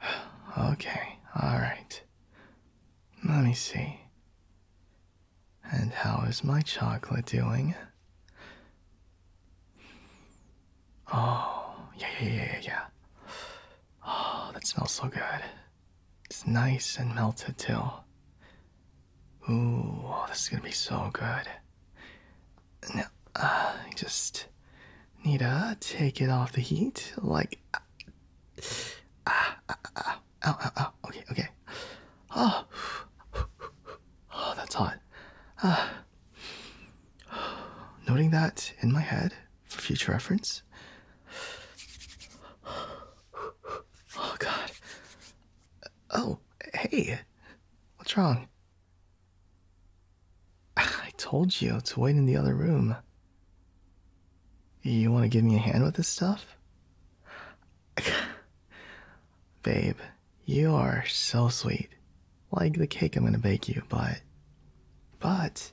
okay, alright. Let me see. And how is my chocolate doing? Oh, yeah, yeah, yeah, yeah, Oh, that smells so good. It's nice and melted, too. Ooh, oh, this is gonna be so good. No, I just need to take it off the heat. Like, ah, ah, ah, ah, ow, ah, ow, ah, ah, Okay, okay. Oh, oh that's hot. Ah. Noting that in my head for future reference. Oh, God. Oh, hey. What's wrong? I told you to wait in the other room. You want to give me a hand with this stuff? Babe, you are so sweet. Like the cake I'm going to bake you, but. But.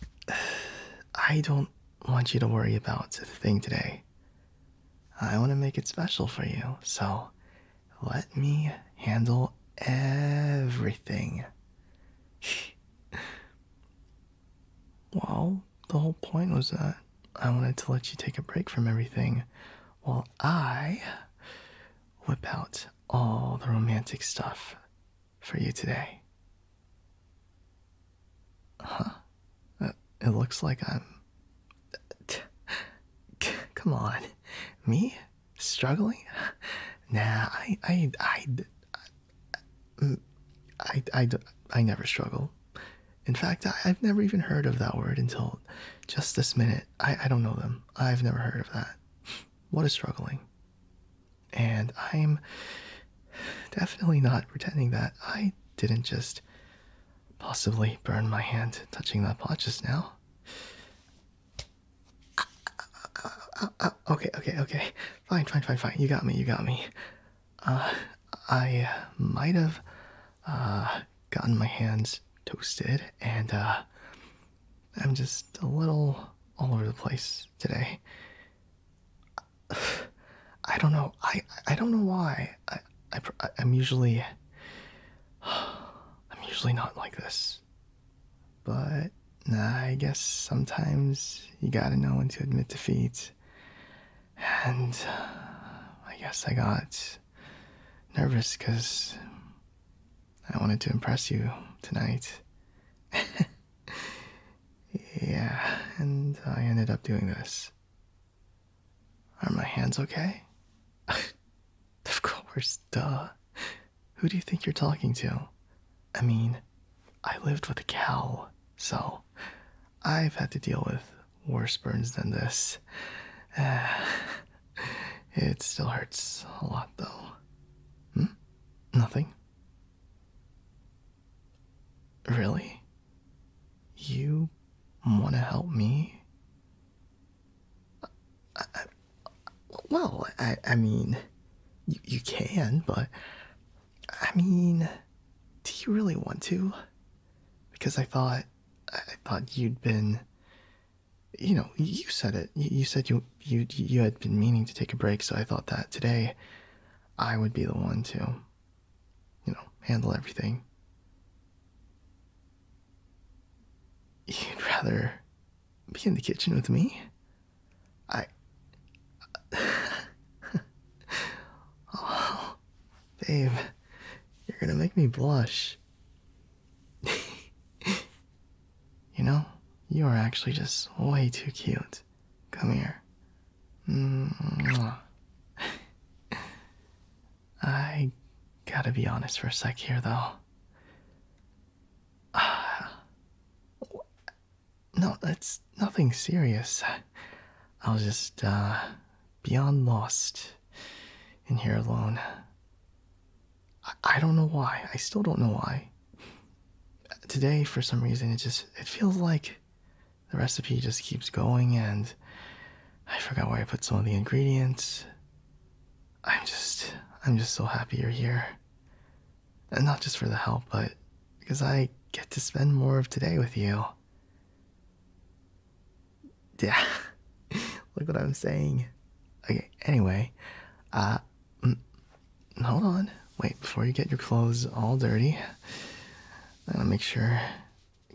I don't want you to worry about the thing today. I want to make it special for you, so let me handle everything. well, the whole point was that I wanted to let you take a break from everything while I whip out all the romantic stuff for you today. Huh. It looks like I'm. Come on. Me? struggling nah I I, I mm, I I don't. I never struggle in fact I've never even heard of that word until just this minute I I don't know them I've never heard of that what is struggling and I'm definitely not pretending that I didn't just possibly burn my hand touching that pot just now uh, okay, okay, okay. Fine, fine, fine, fine. You got me, you got me. Uh, I uh, might have uh, gotten my hands toasted, and I'm just a little all over the place today. I don't know. I I don't know why. I I'm usually I'm usually not like this. But I guess sometimes you gotta know when to admit defeat. And uh, I guess I got nervous because I wanted to impress you tonight. yeah, and I ended up doing this. Are my hands okay? of course duh. Who do you think you're talking to? I mean, I lived with a cow, so I've had to deal with worse burns than this. it still hurts a lot, though. Hmm? Nothing? Really? You want to help me? well, I, I mean, you, you can, but I mean, do you really want to? Because I thought, I thought you'd been, you know, you said it. You, you said you you you had been meaning to take a break, so I thought that today, I would be the one to, you know, handle everything. You'd rather be in the kitchen with me? I. oh, babe, you're gonna make me blush. you know, you are actually just way too cute. Come here. Mm. I gotta be honest for a sec here, though. Ah. no, it's nothing serious. I was just, uh, beyond lost in here alone. I, I don't know why. I still don't know why. Today, for some reason, it just, it feels like the recipe just keeps going and I forgot where I put some of the ingredients. I'm just I'm just so happy you're here. And not just for the help, but because I get to spend more of today with you. Yeah. Look what I'm saying. Okay, anyway, uh hold on. Wait, before you get your clothes all dirty, I'm gonna make sure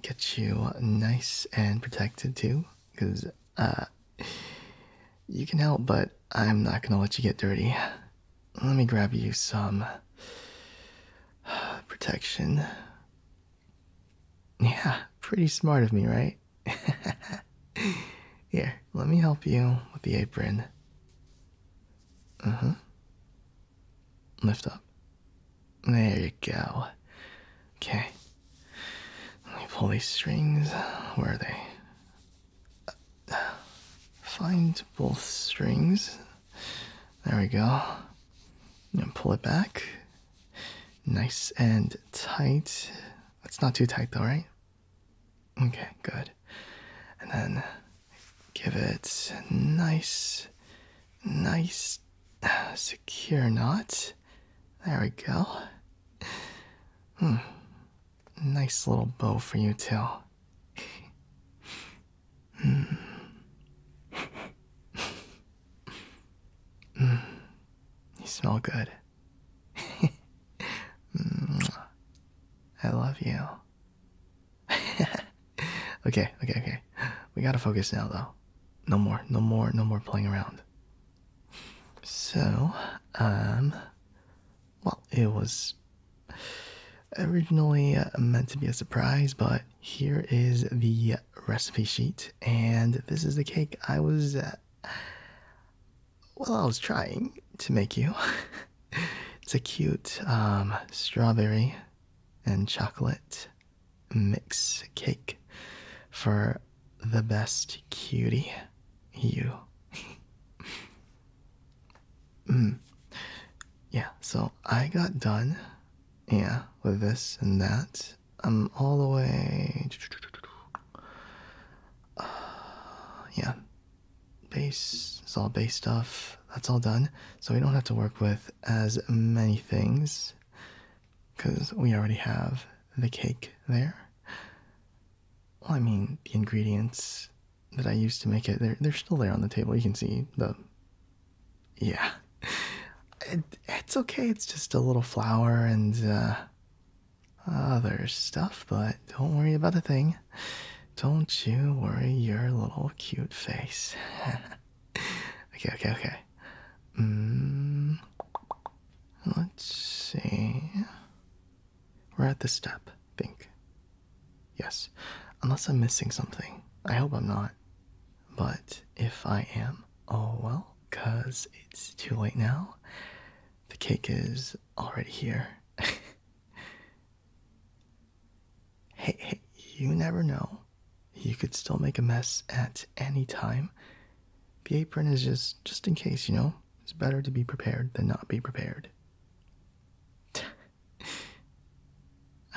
get you nice and protected too, because uh, you can help, but I'm not gonna let you get dirty. Let me grab you some protection. Yeah, pretty smart of me, right? Here, let me help you with the apron. Uh mm-hmm. huh. Lift up. There you go. Okay, let me pull these strings. Where are they? find both strings. There we go. And pull it back. Nice and tight. That's not too tight though, right? Okay, good. And then give it nice, nice secure knot. There we go. Hmm. Nice little bow for you, too. Hmm. hmm. You smell good. I love you. okay, okay, okay. We gotta focus now, though. No more, no more, no more playing around. So, um, well, it was originally uh, meant to be a surprise, but here is the recipe sheet, and this is the cake I was, uh, well, I was trying to make you. it's a cute um, strawberry and chocolate mix cake for the best cutie, you. Hmm. Yeah, so I got done, yeah, with this and that. I'm all the way. yeah, base, it's all base stuff. That's all done. So we don't have to work with as many things because we already have the cake there. Well, I mean, the ingredients that I used to make it, they're, they're still there on the table. You can see the. Yeah. it's okay. It's just a little flour and uh, other stuff, but don't worry about a thing. Don't you worry your little cute face. okay, okay, okay. Mm, let's see. We're at the step, I think. Yes. Unless I'm missing something. I hope I'm not. But if I am, oh well, because it's too late now. The cake is already here. hey, you never know you could still make a mess at any time. The apron is just just in case, you know. It's better to be prepared than not be prepared. I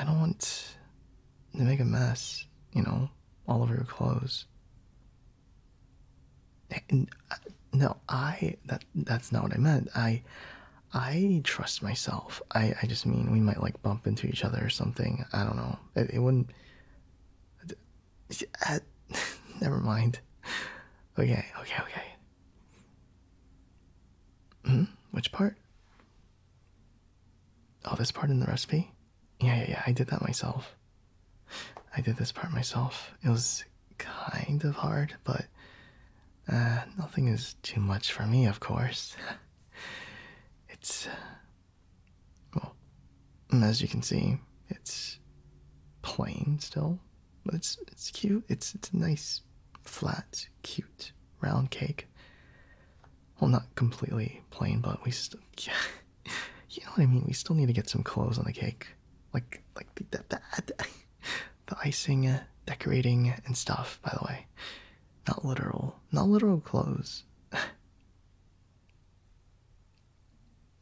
don't want to make a mess, you know, all over your clothes. Uh, no, I that that's not what I meant. I I trust myself. I I just mean we might like bump into each other or something. I don't know. it wouldn't Never mind. Okay, okay, okay. Hmm? Which part? Oh, this part in the recipe? Yeah, yeah, yeah. I did that myself. I did this part myself. It was kind of hard, but uh, nothing is too much for me, of course. it's uh, well, as you can see, it's plain still, but it's it's cute. It's it's a nice, flat, cute round cake. Well, not completely plain, but we still, yeah, you know what I mean. We still need to get some clothes on the cake, like like the the, the, the icing, uh, decorating, and stuff. By the way, not literal, not literal clothes.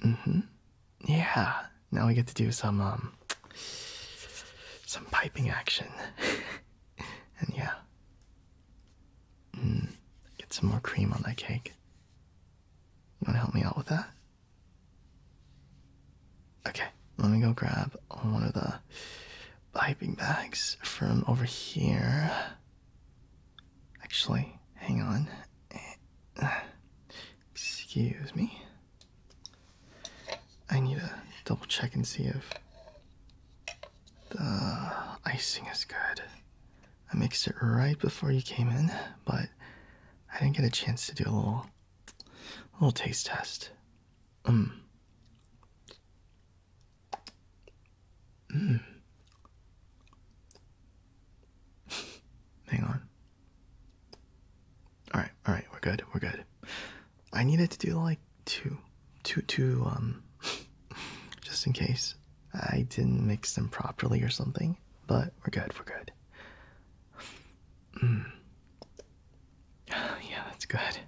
Mm-hmm. Yeah. Now we get to do some um some piping action. and yeah. Mm. Get some more cream on that cake. You wanna help me out with that? Okay, let me go grab one of the piping bags from over here. Actually, hang on. Excuse me. I need to double check and see if the icing is good. I mixed it right before you came in, but I didn't get a chance to do a little, little taste test. Um. Mm. Hang on. All right, all right, we're good, we're good. I needed to do like two, two, two, um, just in case I didn't mix them properly or something, but we're good, we're good. Mm. yeah, that's good.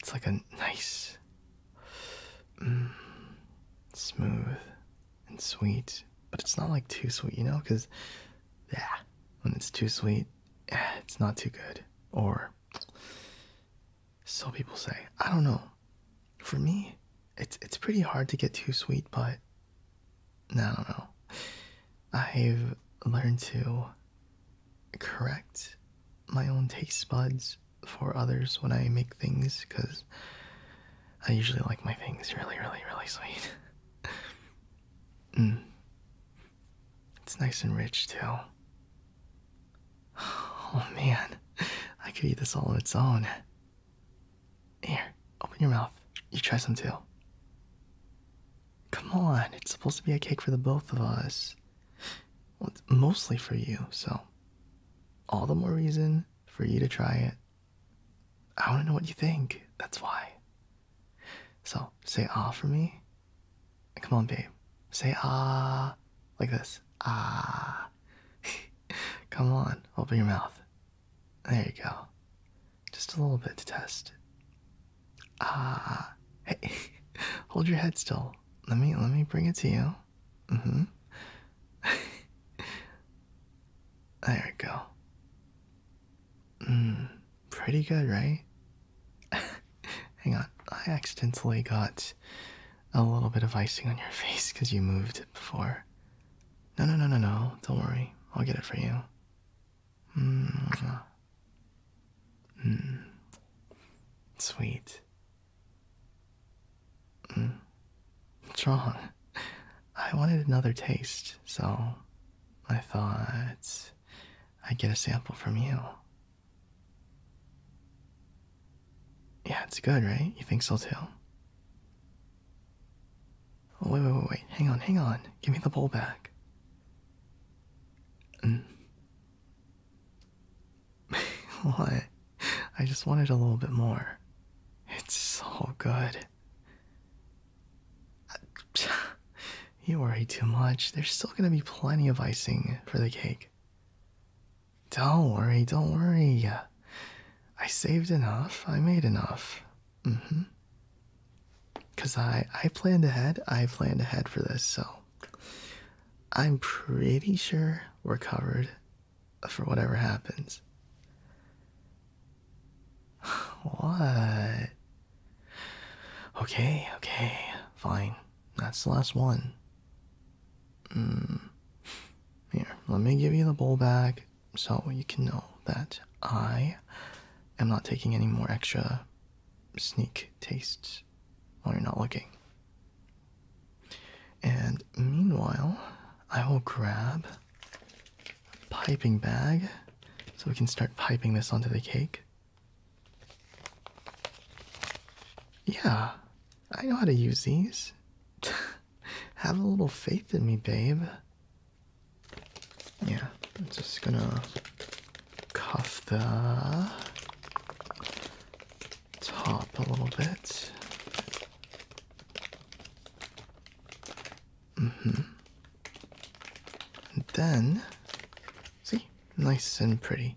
It's like a nice, mm, smooth, and sweet, but it's not like too sweet, you know? Because, yeah, when it's too sweet, eh, it's not too good. Or, so people say, I don't know. For me, it's it's pretty hard to get too sweet, but I don't know. I've learned to correct my own taste buds for others when I make things because I usually like my things really, really, really sweet. Mm. It's nice and rich too. Oh man, I could eat this all on its own. Here, open your mouth. You try some too. Come on, it's supposed to be a cake for the both of us. Well, mostly for you, so all the more reason for you to try it. I want to know what you think. That's why. So say ah for me. And come on, babe. Say ah like this. Ah. come on. Open your mouth. There you go. Just a little bit to test. Ah. Hey, hold your head still let me let me bring it to you. Mm-hmm. there we go. Mm, pretty good, right? Hang on, I accidentally got a little bit of icing on your face because you moved it before. No, no, no, no, no. Don't worry, I'll get it for you. Mm. Mm. Sweet. What's mm. wrong? I wanted another taste, so I thought I'd get a sample from you. Yeah, it's good, right? You think so too? Oh, wait, wait, wait, wait. Hang on, hang on. Give me the bowl back. Mm. what? I just wanted a little bit more. It's so good. You worry too much. There's still gonna be plenty of icing for the cake. Don't worry, don't worry. I saved enough. I made enough. Mm hmm. Cause I I planned ahead. I planned ahead for this, so I'm pretty sure we're covered for whatever happens. What? Okay, okay, fine. That's the last one. Mm. Here, let me give you the bowl back so you can know that I am not taking any more extra sneak tastes eyes oh, while you're not looking. And meanwhile, I will grab a piping bag so we can start piping this onto the cake. Yeah, I know how to use these. Have a little faith in me, babe. Yeah, I'm just gonna cuff the top a little bit. Mm-hmm. And then, see, nice and pretty.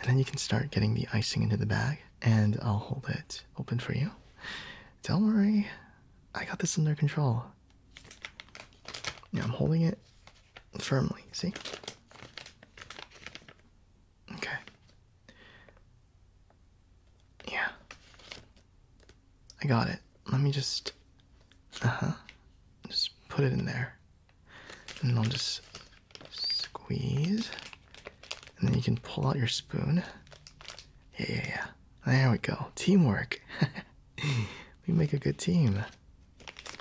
And then you can start getting the icing into the bag, and I'll hold it open for you. Don't worry, I got this under control. Yeah, I'm holding it firmly, see? Okay. Yeah. I got it. Let me just. Uh huh. Just put it in there. And I'll just squeeze. And then you can pull out your spoon. Yeah, yeah, yeah. There we go. Teamwork. we make a good team.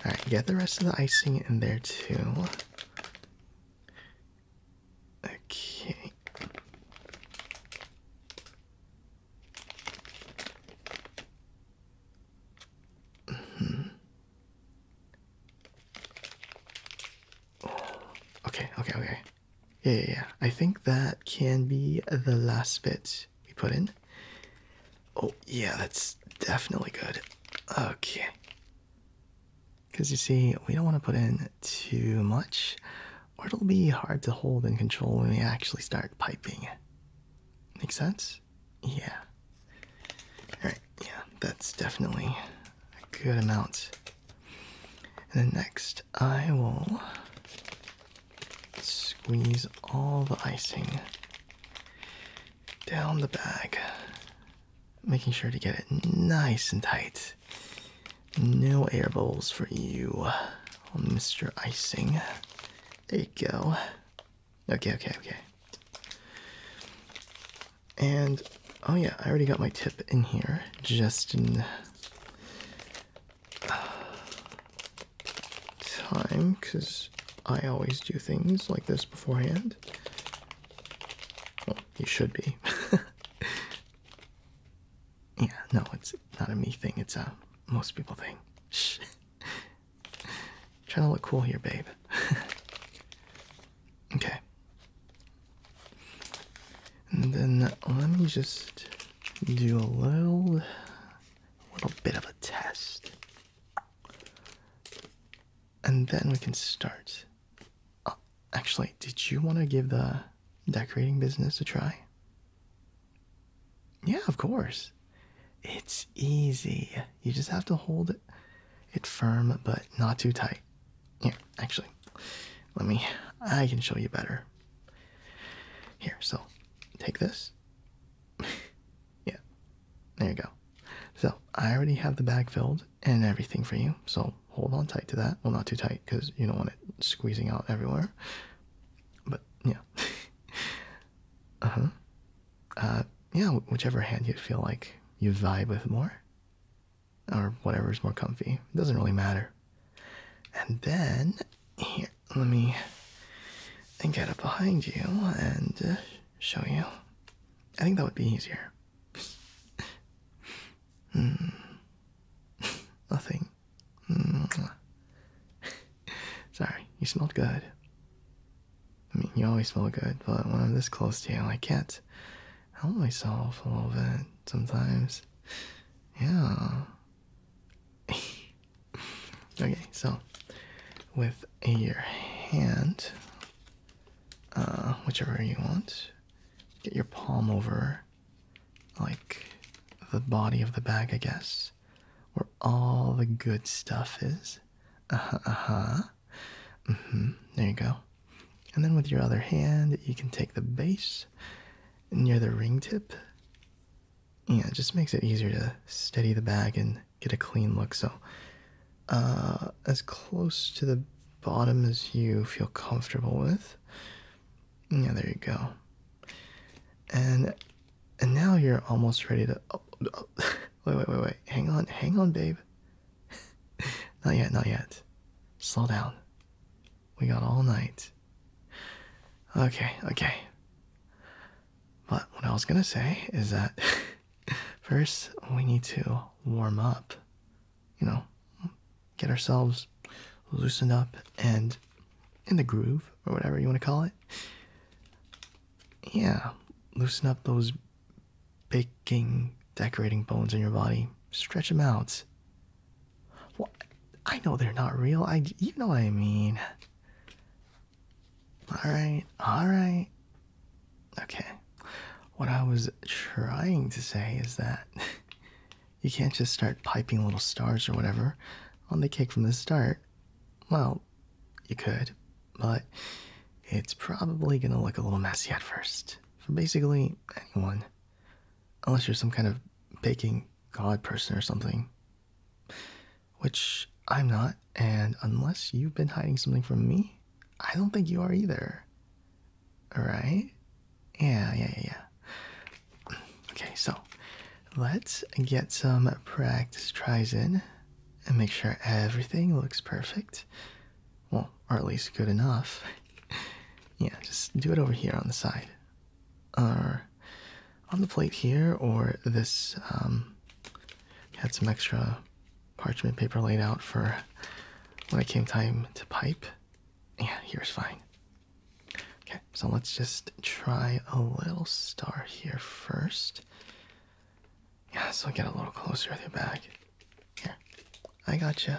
Alright, get the rest of the icing in there too. Okay. Mm-hmm. Okay, okay, okay. yeah, yeah. I think that can be the last bit we put in. Oh, yeah, that's definitely good. Okay. Because you see, we don't want to put in too much, or it'll be hard to hold and control when we actually start piping. Make sense? Yeah. Alright, yeah, that's definitely a good amount. And then next, I will squeeze all the icing down the bag making sure to get it nice and tight. No air bubbles for you, Mr. Icing. There you go. Okay, okay, okay. And oh, yeah, I already got my tip in here. Just in time, because I always do things like this beforehand. Well, you should be. yeah, no, it's not a me thing, it's a most people thing. Shh. Trying to look cool here, babe. okay. And then let me just do a little little bit of a test and then we can start. Oh, actually, did you want to give the decorating business a try? Yeah, of course. It's easy. You just have to hold it firm but not too tight. Yeah, actually, let me, I can show you better. Here, so take this. Yeah, there you go. So I already have the bag filled and everything for you. So hold on tight to that. Well, not too tight because you don't want it squeezing out everywhere. But yeah. uh huh. Uh, yeah, whichever hand you feel like you vibe with more, or whatever is more comfy. It doesn't really matter. And then here, let me and get up behind you and uh, show you I think that would be easier. Hmm. Nothing. Hmm. Sorry, you smelled good. I mean, you always smell good, but when I'm this close to you, I can't help myself a little bit sometimes. Yeah. okay, so with your hand, uh, whichever you want. Get your palm over, like, the body of the bag, I guess, where all the good stuff is. Uh huh, uh huh. hmm, there you go. And then with your other hand, you can take the base near the ring tip. Yeah, just makes it easier to steady the bag and get a clean look. So, uh, as close to the bottom as you feel comfortable with. Yeah, there you go. And and now you're almost ready to. Oh, oh, wait, wait, wait, wait. Hang on, hang on, babe. not yet, not yet. Slow down. We got all night. Okay, okay. But what I was gonna say is that First, we need to warm up, you know, get ourselves loosened up and in the groove or whatever you want to call it. Yeah, loosen up those baking, decorating bones in your body, stretch them out. Well, I know they're not real. I, you know what I mean. All right, all right. Okay. What I was trying to say is that you can't just start piping little stars or whatever on the cake from the start. Well, you could, but it's probably going to look a little messy at first for basically anyone, unless you're some kind of baking god person or something which I'm not, and unless you've been hiding something from me, I don't think you are either. Alright? Yeah, yeah, yeah, yeah. Okay, so let's get some practice tries in and make sure everything looks perfect. Well, or at least good enough. yeah, just do it over here on the side. Or on the plate here, or this, um, had some extra parchment paper laid out for when it came time to pipe. Yeah, here's fine. Okay, so let's just try a little star here first. Yeah, so get a little closer with your back. Here, I got you.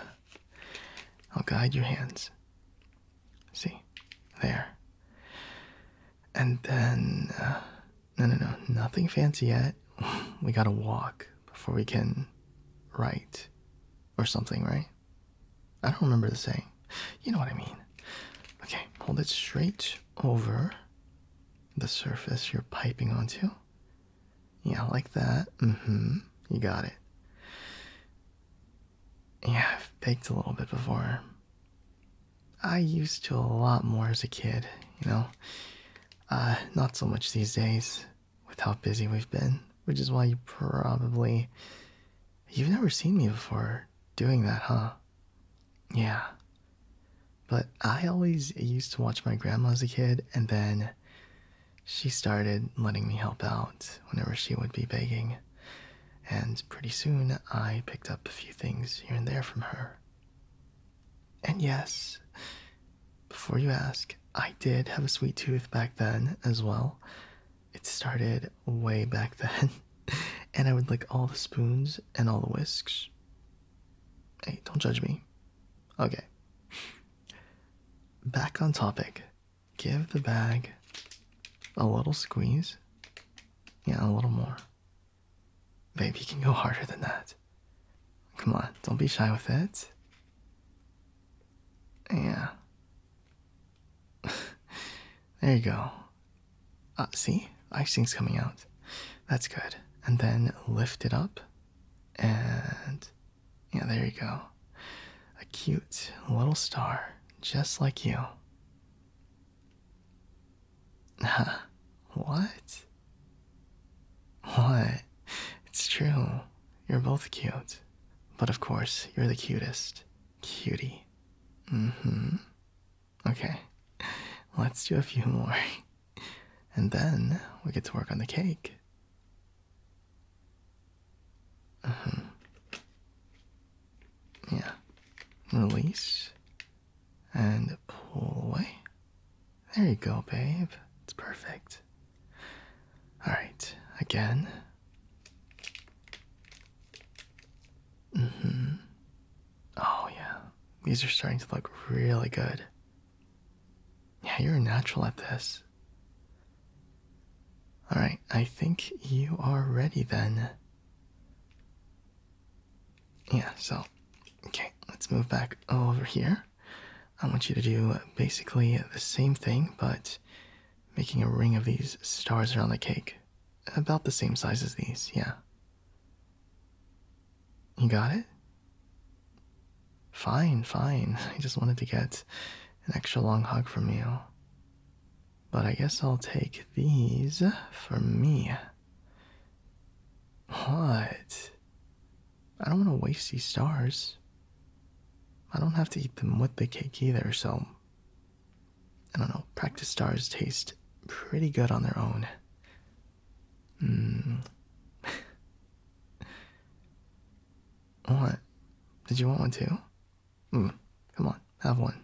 I'll guide your hands. See, there. And then uh, no, no, no, nothing fancy yet. We gotta walk before we can write or something, right? I don't remember the saying. You know what I mean. Okay, hold it straight over the surface you're piping onto. Yeah, like that. Mm hmm. You got it. Yeah, I've baked a little bit before. I used to a lot more as a kid, you know. Uh, not so much these days with how busy we've been, which is why you probably. You've never seen me before doing that, huh? Yeah. But I always used to watch my grandma as a kid, and then she started letting me help out whenever she would be baking, And pretty soon I picked up a few things here and there from her. And yes, before you ask, I did have a sweet tooth back then as well. It started way back then, and I would lick all the spoons and all the whisks. Hey, don't judge me. Okay. Back on topic. Give the bag a little squeeze. Yeah, a little more. Baby, you can go harder than that. Come on, don't be shy with it. Yeah. there you go. Uh, see? Icing's coming out. That's good. And then lift it up. And yeah, there you go. A cute little star, just like you. what? What? It's true. You're both cute. But of course, you're the cutest. Cutie. Mm hmm. Okay. Let's do a few more. And then we get to work on the cake. Uh mm-hmm. -huh. Yeah. Release and pull away. There you go, babe. It's perfect. All right, again. hmm Oh, yeah. These are starting to look really good. Yeah, you're natural at this. All right, I think you are ready then yeah, so okay, let's move back over here. I want you to do basically the same thing, but making a ring of these stars around the cake. About the same size as these, yeah. You got it? Fine, fine. I just wanted to get an extra long hug from you. But I guess I'll take these for me. What? I don't want to waste these stars. I don't have to eat them with the cake either, so. I don't know. Practice stars taste pretty good on their own. Mm. what? Did you want one too? Mm. Come on, have one.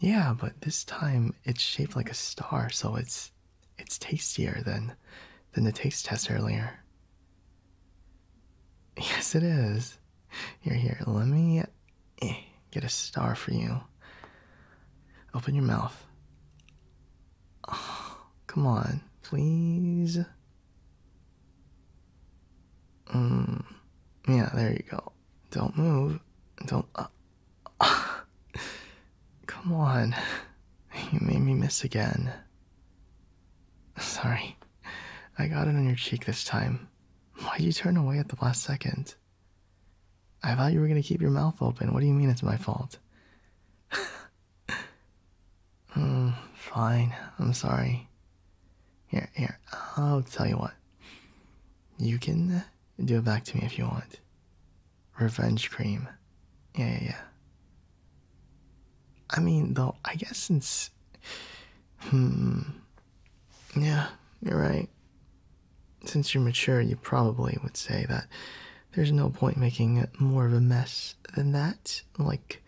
Yeah, but this time it's shaped like a star, so it's it's tastier than than the taste test earlier. Yes, it is. Here, here. Let me eh, get a star for you. Open your mouth. come on, please. Mm, yeah, there you go. Don't move. Don't. Uh, come on. You made me miss again. Sorry. I got it on your cheek this time. Why'd you turn away at the last second? I thought you were gonna keep your mouth open. What do you mean it's my fault? Hmm, fine. I'm sorry. Here, here. I'll tell you what. You can do it back to me if you want. Revenge cream. Yeah, yeah, yeah. I mean, though, I guess since. Hmm. Yeah, you're right. Since you're mature, you probably would say that there's no point making more of a mess than that. Like,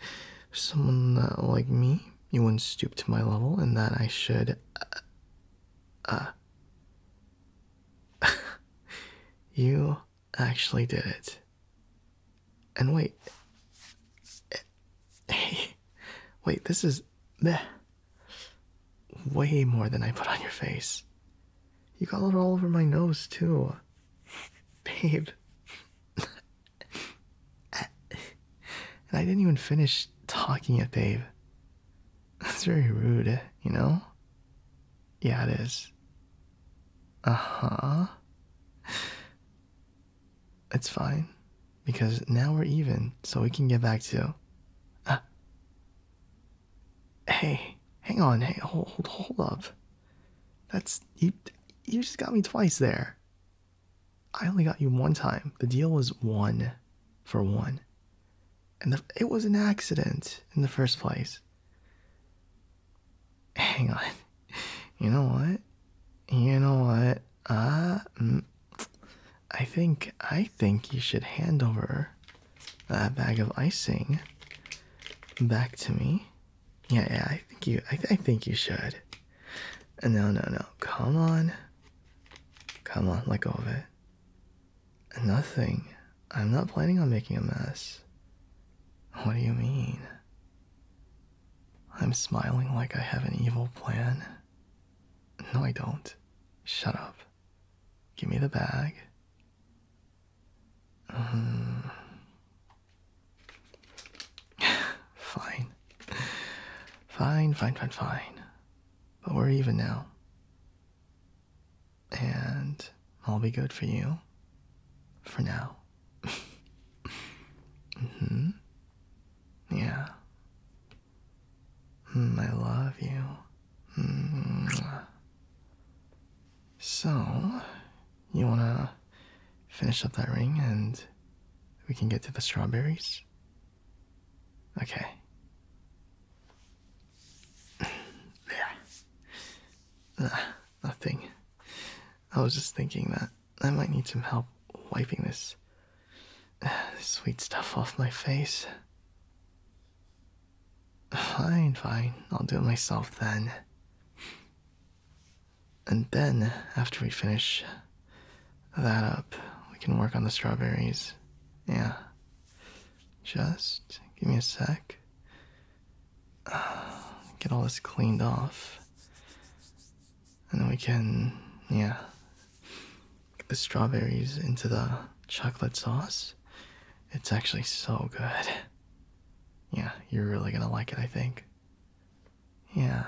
someone uh, like me, you wouldn't stoop to my level, and that I should. Uh, uh. you actually did it. And wait. Hey. Wait, this is. Bleh, way more than I put on your face. You got it all over my nose, too. Babe. and I didn't even finish talking it, babe. That's very rude, you know? Yeah, it is. Uh huh. It's fine, because now we're even, so we can get back to. Uh, hey, hang on, hey, hold, hold, hold up. That's you. You just got me twice there. I only got you one time. The deal was one for one. And it was an accident in the first place. Hang on. You know what? You know what? Uh, mm, I think I think you should hand over that bag of icing back to me. Yeah, yeah. I think you. I think you should. No, no, no. Come on. Come on, let go of it. Nothing. I'm not planning on making a mess. What do you mean? I'm smiling like I have an evil plan. No, I don't. Shut up. Give me the bag. Um, fine. Fine, fine, fine, fine. But we're even now. And I'll be good for you. For now. mm-hmm. Yeah. Mm, I love you. Mm. So, you wanna finish up that ring and we can get to the strawberries? Okay. There. Nah, nothing. I was just thinking that I might need some help wiping this sweet stuff off my face. Fine, fine. I'll do it myself then. And then, after we finish, that up. We can work on the strawberries. Yeah. Just give me a sec. Uh, get all this cleaned off. And then we can, yeah, get the strawberries into the chocolate sauce. It's actually so good. Yeah, you're really gonna like it, I think. Yeah.